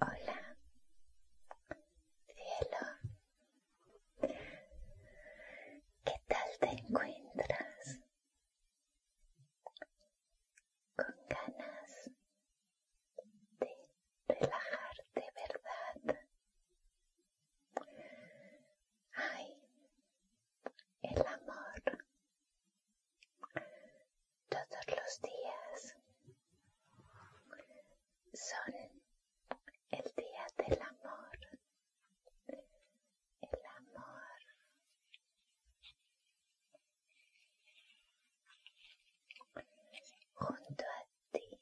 Hola, cielo. ¿Qué tal te encuentras? Con ganas de relajarte, ¿verdad? Ay, el amor todos los días son el día del amor el amor junto a ti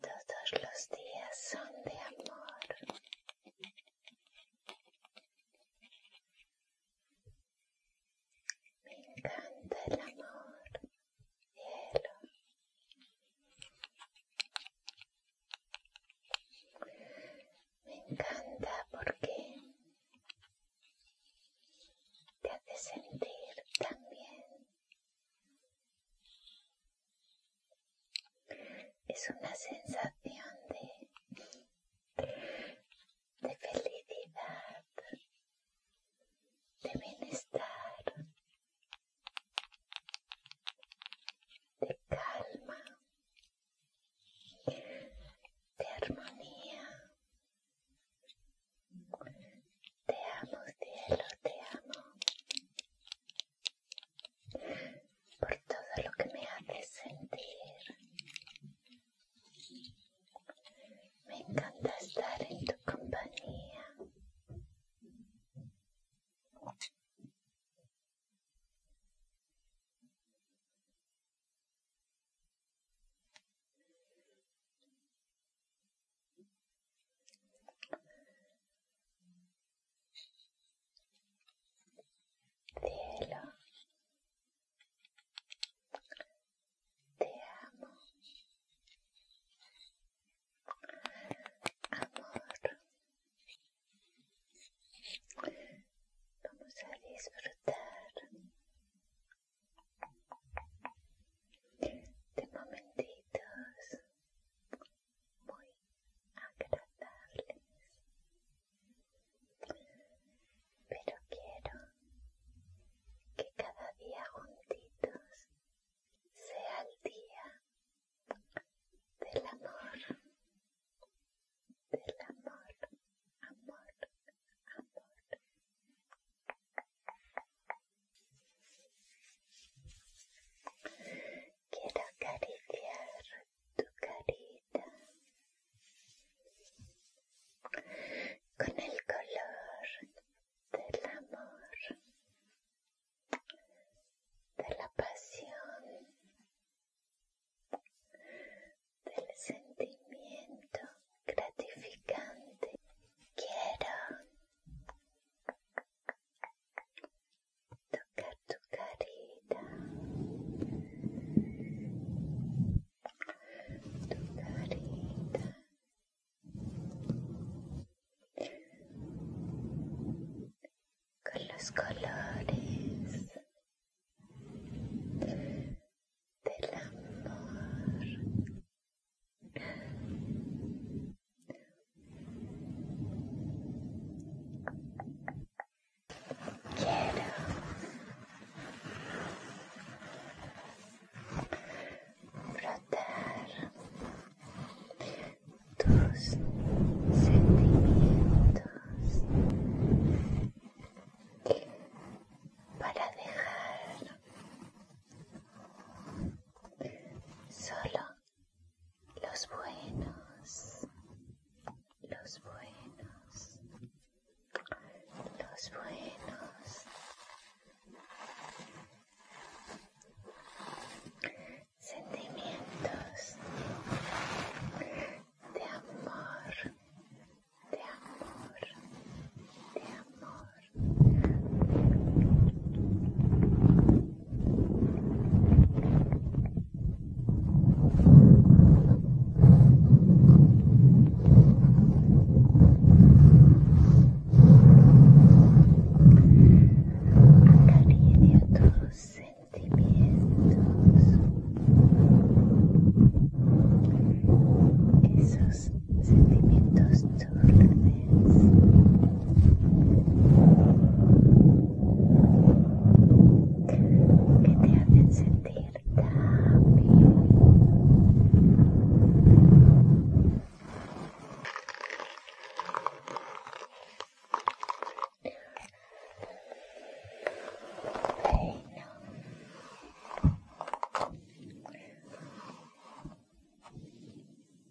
todos los días son de amor. Me encanta el amor, cielo. Me encanta porque te hace sentir tan bien. Es una sensación de, de felicidad, de bienestar, de calma, de armonía, te amo, cielo, te amo. Por todo lo que me haces sentir. Me encanta estar en tu compañía te amo. Amor, vamos a disfrutar de momentitos muy agradables pero quiero que cada día juntitos sea el día del amor del amor amor amor Quiero acariciar tu carita con el color del amor, de la pasión, del sentimiento gratificante. Quiero tocar tu carita, tu carita. Con los colores del amor Quiero brotar tus sentimientos para dejar Solo los buenos, los buenos, los buenos. Sentimientos de amor, de amor, de amor de tus sentimientos, esos sentimientos que te hacen sentir tan bien. Bueno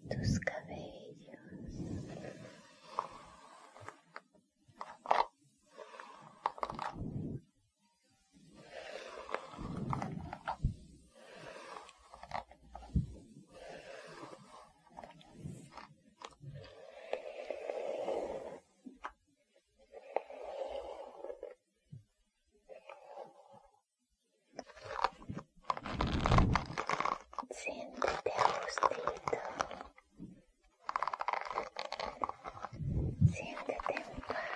tus cabellos Siéntete a gustito. Siéntete en paz.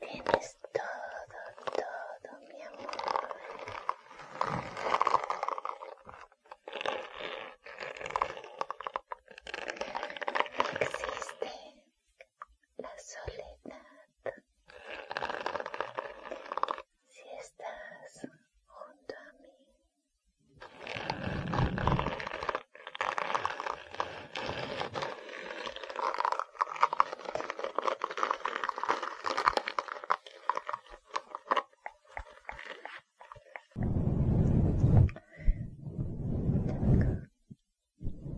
Tienes todo, todo, mi amor. Existe la soledad. Si estás junto a mí,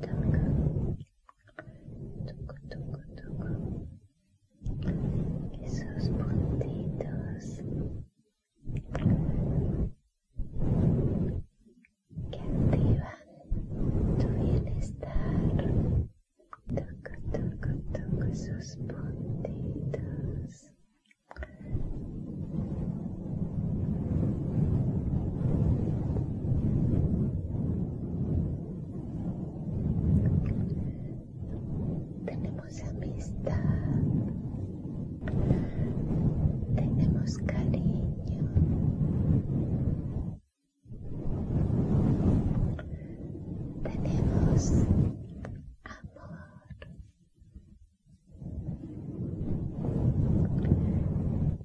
Toco, toco, toco, esos puntitos que activan tu bienestar. Toco, toco, toco esos puntitos tenemos amistad, tenemos cariño, tenemos amor.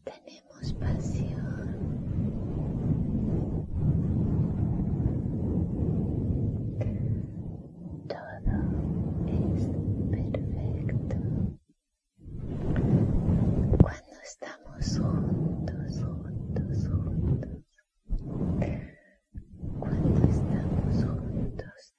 Tenemos pasión. Todo es perfecto. Cuando estamos juntos, juntos, juntos. Cuando estamos juntos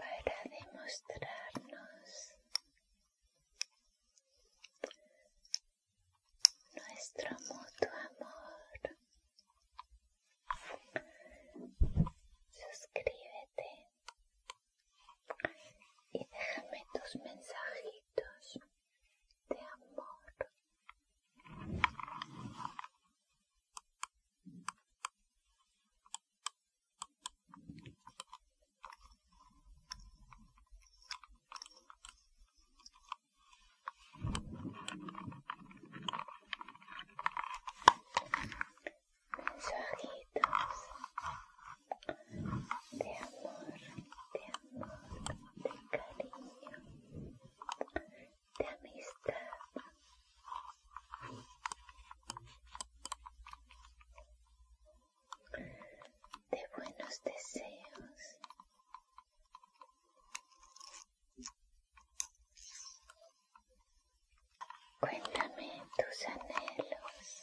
para demostrarnos nuestro mutuo amor. Suscríbete y déjame tus mensajitos de amor. Mis de amor, de amor, de cariño de amistad. De buenos deseos. Cuéntame tus anhelos.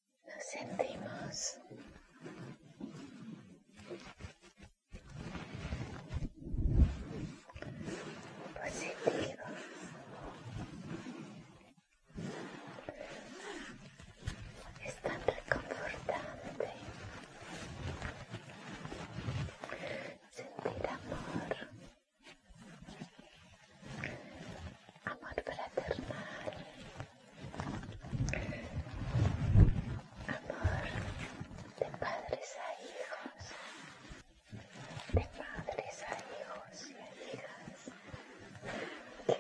Nos sentimos positivos. Es tan reconfortante sentir amor, amor fraternal. Amor de padres a hijos, de padres a hijos y a hijas. Amor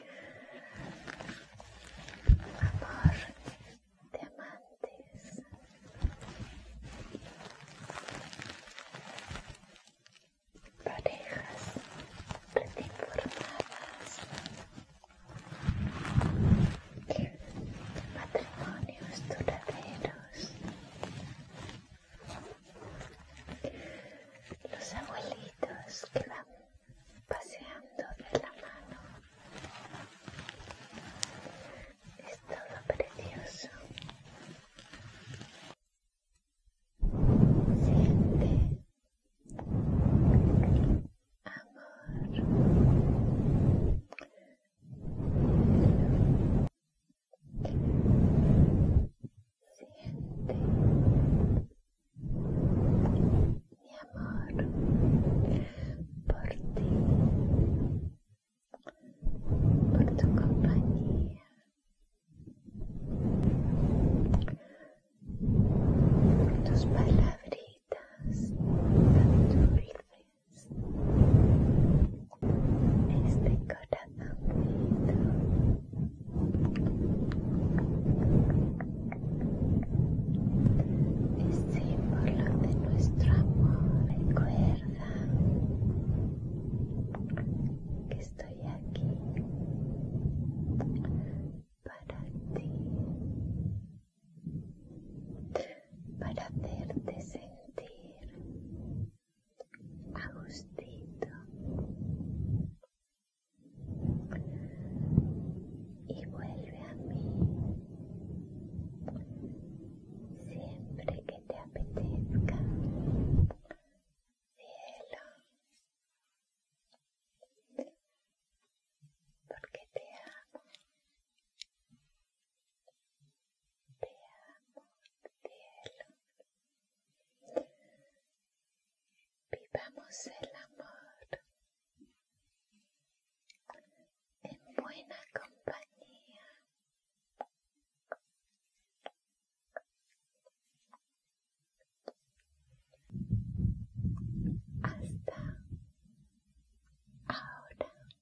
de amantes parejas reinformadas, matrimonios duraderos los abuelitos que van paseando de la mano es todo precioso Siente amor. Siente mi amor por ti, por tu compañía, tus palabritas tan dulces. Este corazón símbolo de nuestro amor. Recuerda que estoy aquí para ti, para hacerte sentir a y vuelve a mí siempre que te apetezca cielo porque te amo, te amo, cielo. Vivamos el amor en buena compañía hasta ahora cielo